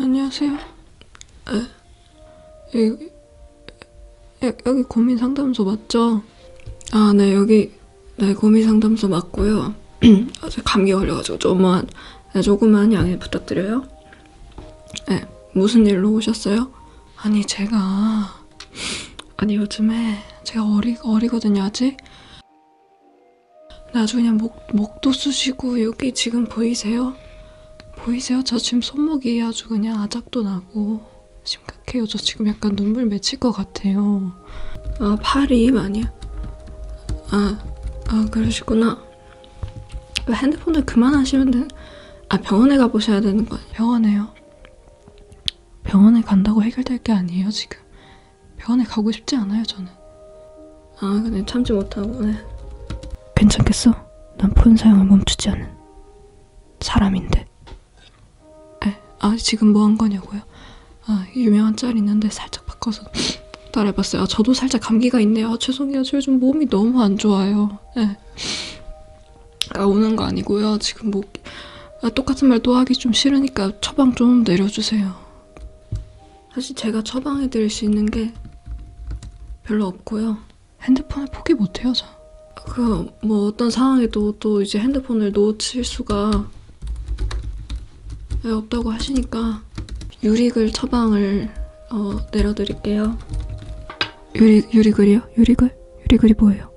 안녕하세요. 네. 여기, 여기 고민 상담소 맞죠? 아, 네, 여기, 네, 고민 상담소 맞고요. 어제 아, 감기 걸려가지고 조금만, 네, 조금만 양해 부탁드려요. 네, 무슨 일로 오셨어요? 아니 제가 아니 요즘에 제가 어리, 어리거든요 아직 나주 그냥 목, 목도 쑤시고 여기 지금 보이세요? 보이세요? 저 지금 손목이 아주 그냥 아작도 나고 심각해요 저 지금 약간 눈물 맺힐 것 같아요 아 팔이 많이 아, 아 그러시구나 핸드폰을 그만하시면 돼. 아 병원에 가보셔야 되는 거예요. 병원에요. 병원에 간다고 해결될 게 아니에요 지금. 병원에 가고 싶지 않아요 저는. 아 그냥 참지 못하고 네. 괜찮겠어? 난 폰 사용을 멈추지 않은 사람인데. 에, 아 지금 뭐 한 거냐고요? 아 유명한 짤 있는데 살짝 바꿔서 따라해봤어요. 아, 저도 살짝 감기가 있네요. 아, 죄송해요. 저 요즘 몸이 너무 안 좋아요. 울어요. 네. 아, 우는 거 아니고요. 지금 뭐 아, 똑같은 말 또 하기 좀 싫으니까 처방 좀 내려주세요. 사실 제가 처방해 드릴 수 있는 게 별로 없고요. 핸드폰을 포기 못해요, 저. 그 뭐 어떤 상황에도 또 이제 핸드폰을 놓칠 수가 없다고 하시니까 유리글 처방을 어, 내려드릴게요. 유리, 유리글이요? 유리글? 유리글이 뭐예요?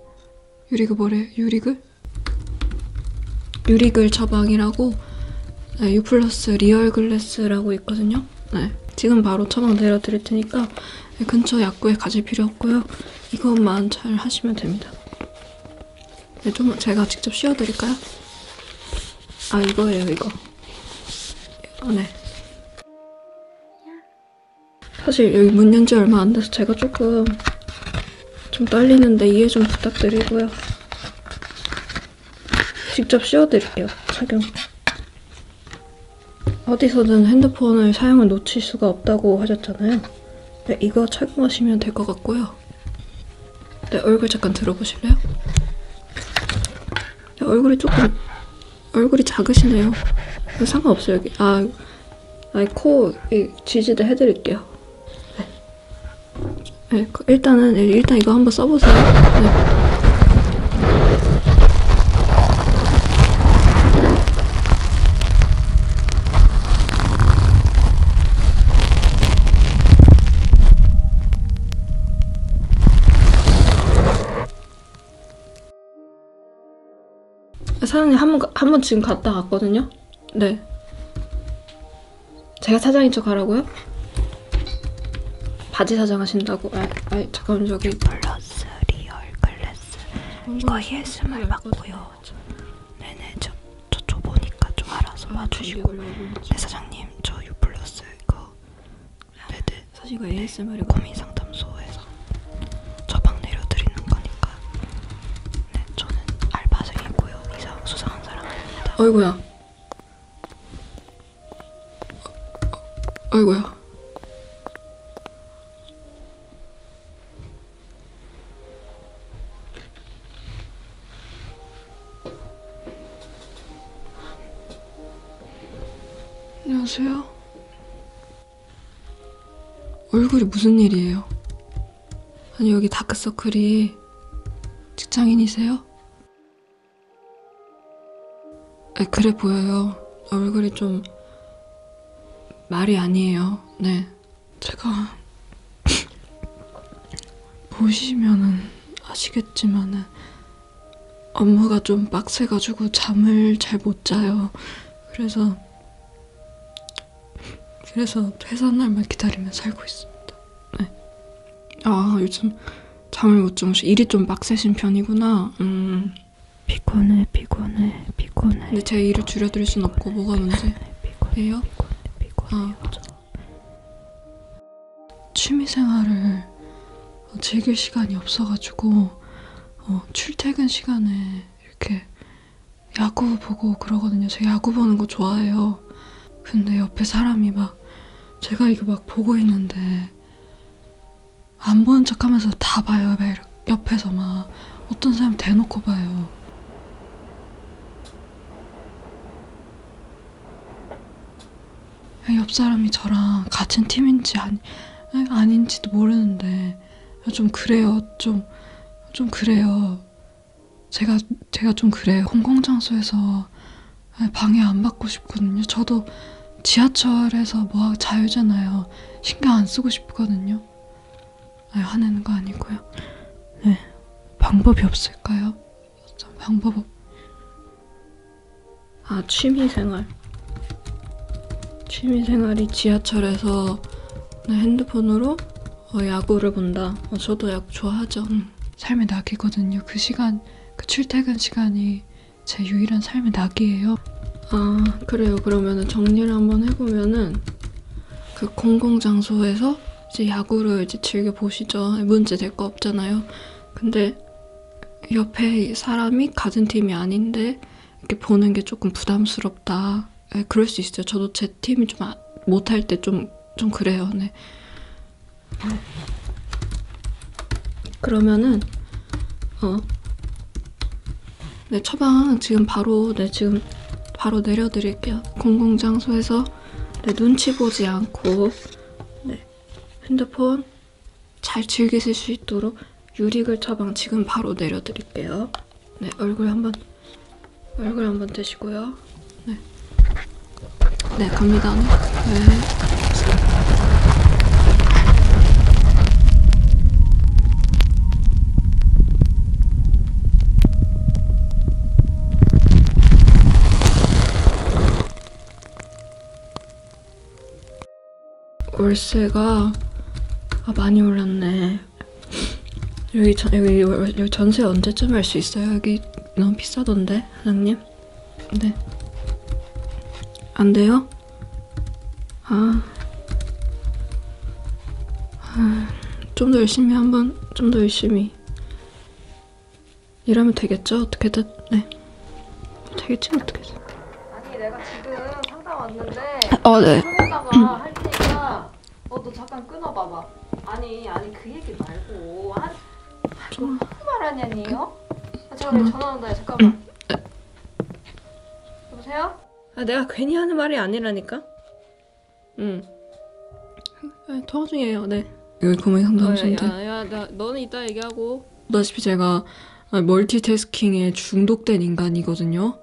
유리글 뭐래요? 유리글? 유리글 처방이라고 네, 유플러스 리얼글래스라고 있거든요. 네, 지금 바로 처방 내려드릴 테니까 네, 근처 약국에 가실 필요 없고요. 이것만 잘 하시면 됩니다. 네, 좀 제가 직접 씌워드릴까요? 아 이거예요 이거. 오늘 네. 사실 여기 문연지 얼마 안 돼서 제가 조금 좀 떨리는데 이해 좀 부탁드리고요. 직접 씌워드릴게요, 착용. 어디서든 핸드폰을 사용을 놓칠 수가 없다고 하셨잖아요. 네, 이거 착용하시면 될 것 같고요. 네, 얼굴 잠깐 들어보실래요? 얼굴이 조금 얼굴이 작으시네요. 뭐 상관없어요 여기. 아, 아니 코 지지대 해드릴게요. 네. 네, 그 일단은 네, 일단 이거 한번 써보세요. 네. 사장님 한번한번 지금 갔다 왔거든요. 네. 제가 사장인 척 하라고요? 바지 사장 하신다고? 아, 아 잠깐만 저기 플러스 리얼 글래스 이거 예술을 음, 받고요. 네, 네네 저 저쪽 보니까 좀 알아서 아, 봐주시고. 네 사장님 저 유플러스 이거 레드 사실 이거 ASMR이 고민 상담소에서 저방 내려드리는 거니까 네 저는 알바생이고요 이상 수상한 사람입니다 어이구야 어이구야 안녕하세요. 얼굴이 무슨 일이에요? 아니 여기 다크서클이 직장인이세요? 아, 그래 보여요. 얼굴이 좀 말이 아니에요. 네, 제가 보시면은 아시겠지만은 업무가 좀 빡세가지고 잠을 잘 못 자요. 그래서 그래서 퇴사 날만 기다리며 살고 있습니다. 네. 아 요즘 잠을 못 주무시 일이 좀 빡세신 편이구나. 음. 피곤해 피곤해 피곤해. 근데 제 일을 줄여드릴 순 없고 뭐가 문제예요? 아. 취미생활을 즐길 시간이 없어가지고 어, 출퇴근 시간에 이렇게 야구 보고 그러거든요. 제가 야구 보는 거 좋아해요. 근데 옆에 사람이 막 제가 이거 막 보고 있는데 안 보는 척 하면서 다 봐요. 막 옆에서 막 어떤 사람 대놓고 봐요. 옆 사람이 저랑 같은 팀인지 아니, 아닌지도 모르는데 좀 그래요. 좀, 좀 그래요. 제가, 제가 좀 그래요. 공공장소에서 방해 안 받고 싶거든요. 저도 지하철에서 뭐 자유잖아요. 신경 안 쓰고 싶거든요. 아니, 화내는 거 아니고요. 네. 방법이 없을까요? 어떤 방법 없... 아 취미생활 취미생활이 지하철에서 핸드폰으로 어, 야구를 본다 어, 저도 야구 좋아하죠 응. 음, 삶의 낙이거든요 그 시간 그 출퇴근 시간이 제 유일한 삶의 낙이에요 아 그래요 그러면 정리를 한번 해보면은 그 공공장소에서 이제 야구를 이제 즐겨 보시죠. 문제 될 거 없잖아요. 근데 옆에 사람이 같은 팀이 아닌데 이렇게 보는 게 조금 부담스럽다. 네, 그럴 수 있어요. 저도 제 팀이 좀 아, 못할 때 좀 좀 그래요. 네. 그러면은 어. 네, 처방 지금 바로 네, 지금 바로 내려 드릴게요. 공공장소에서 네, 눈치 보지 않고 네, 핸드폰 잘 즐기실 수 있도록 유리글 처방 지금 바로 내려드릴게요. 네, 얼굴 한번 얼굴 한번 대시고요. 네, 네 갑니다. 네. 네. 월세가 아, 많이 올랐네. 여기 전 여기, 여기 전세 언제쯤 할 수 있어요? 여기 너무 비싸던데 사장님. 네. 안 돼요? 아. 아좀 더 열심히 한번 좀 더 열심히 이러면 되겠죠? 어떻게든 네 되겠지 어떻게든 아니 내가 지금 상담 왔는데 어, 네. 좀 있다가 할 테니까 어너 잠깐 끊어봐봐 아니 아니 그 얘기 말고 한 좀... 무슨 말 하냐니요? 아 음. 잠깐만 전화 온다 잠깐만 여보세요? 아 내가 괜히 하는 말이 아니라니까 응. 통화 아, 중이에요. 네. 여기 고민 상담소인데. 어, 야, 야, 나, 너는 이따 얘기하고. 보다시피 제가 아, 멀티태스킹에 중독된 인간이거든요.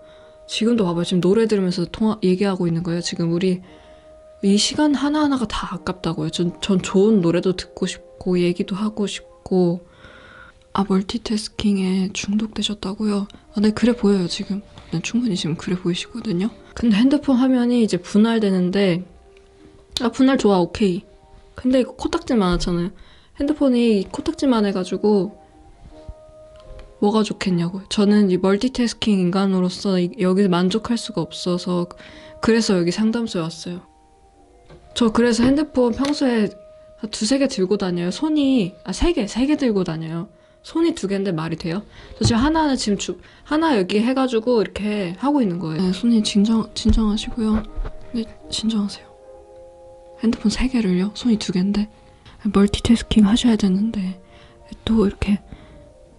지금도 봐봐요. 지금 노래 들으면서 통화 얘기하고 있는 거예요. 지금 우리 이 시간 하나하나가 다 아깝다고요. 전, 전 좋은 노래도 듣고 싶고 얘기도 하고 싶고 아 멀티태스킹에 중독되셨다고요? 아, 네 그래 보여요 지금. 지금 네, 충분히 지금 그래 보이시거든요. 근데 핸드폰 화면이 이제 분할되는데 아 분할 좋아 오케이. 근데 이거 코딱지 많았잖아요. 핸드폰이 코딱지만 해가지고 뭐가 좋겠냐고요. 저는 이 멀티태스킹 인간으로서 여기서 만족할 수가 없어서 그래서 여기 상담소에 왔어요. 저 그래서 핸드폰 평소에 두세 개 들고 다녀요. 손이 아 세 개, 세 개 들고 다녀요. 손이 두 개인데 말이 돼요? 저 지금 하나는 지금 주, 하나 여기 해가지고 이렇게 하고 있는 거예요. 네, 손님 진정, 진정하시고요. 네, 진정하세요. 핸드폰 세 개를요? 손이 두 개인데. 멀티태스킹 하셔야 되는데. 또 이렇게.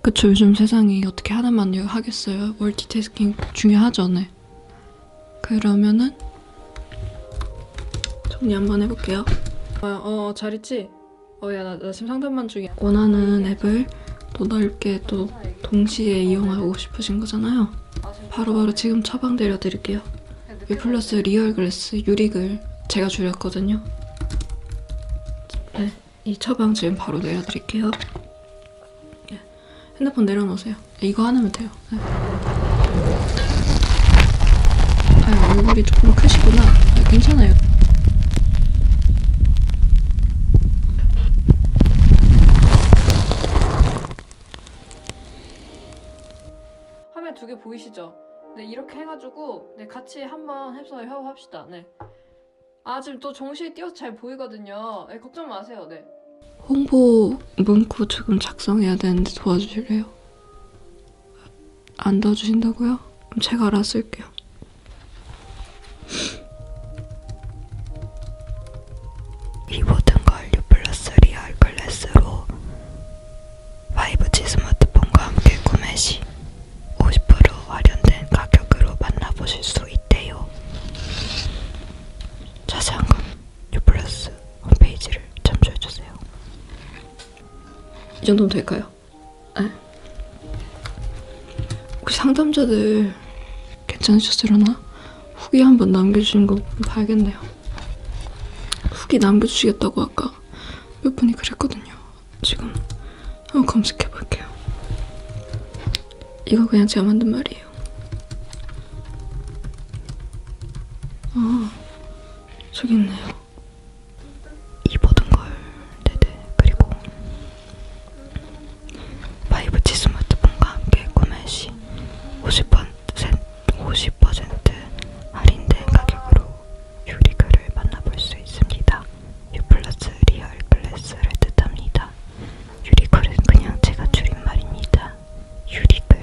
그쵸, 요즘 세상이 어떻게 하나만 하겠어요? 멀티태스킹 중요하죠, 네. 그러면은. 정리 한번 해볼게요. 어, 어, 잘 있지? 어야 나, 나 지금 상담만 중이야 원하는 앱을 또 넓게 또 동시에 이용하고 싶으신 거잖아요 바로바로 바로 지금 처방 내려드릴게요 유플러스 리얼 글래스 유릭을 제가 줄였거든요 네, 이 처방 지금 바로 내려드릴게요 네, 핸드폰 내려놓으세요 네, 이거 하나면 돼요 네. 아 얼굴이 조금 크시구나 네, 괜찮아요 화면 두 개 보이시죠? 네 이렇게 해가지고 네 같이 한번 해서 협업합시다 네아 지금 또 정시에 띄어서 잘 보이거든요 네 걱정 마세요 네 홍보 문구 지금 작성해야 되는데 도와주실래요? 안 도와주신다고요? 그럼 제가 알아서 할게요. 이 모든 걸 유플러스 리얼 글래스로 5G 스마트폰과 함께 구매 시 50% 할인된 가격으로 만나보실 수 있대요. 자세한 건 유플러스 홈페이지를 참조해주세요. 이 정도면 될까요? 에? 그 상담자들 괜찮으셨으려나? 후기 한번 남겨주신 거 봐야겠네요. 후기 남겨주시겠다고 아까 몇 분이 그랬거든요. 지금 한번 검색해 볼게요. 이거 그냥 제가 만든 말이에요. 아, 저기 있네요. 이 모든 걸 네네 그리고 바이브치 스마트폰과 함께 구매 시 50%, 50 할인된 가격으로 유리글을 만나볼 수 있습니다. 유플러스 리얼 글래스를 뜻합니다. 유리글은 그냥 제가 줄인 말입니다. 유리글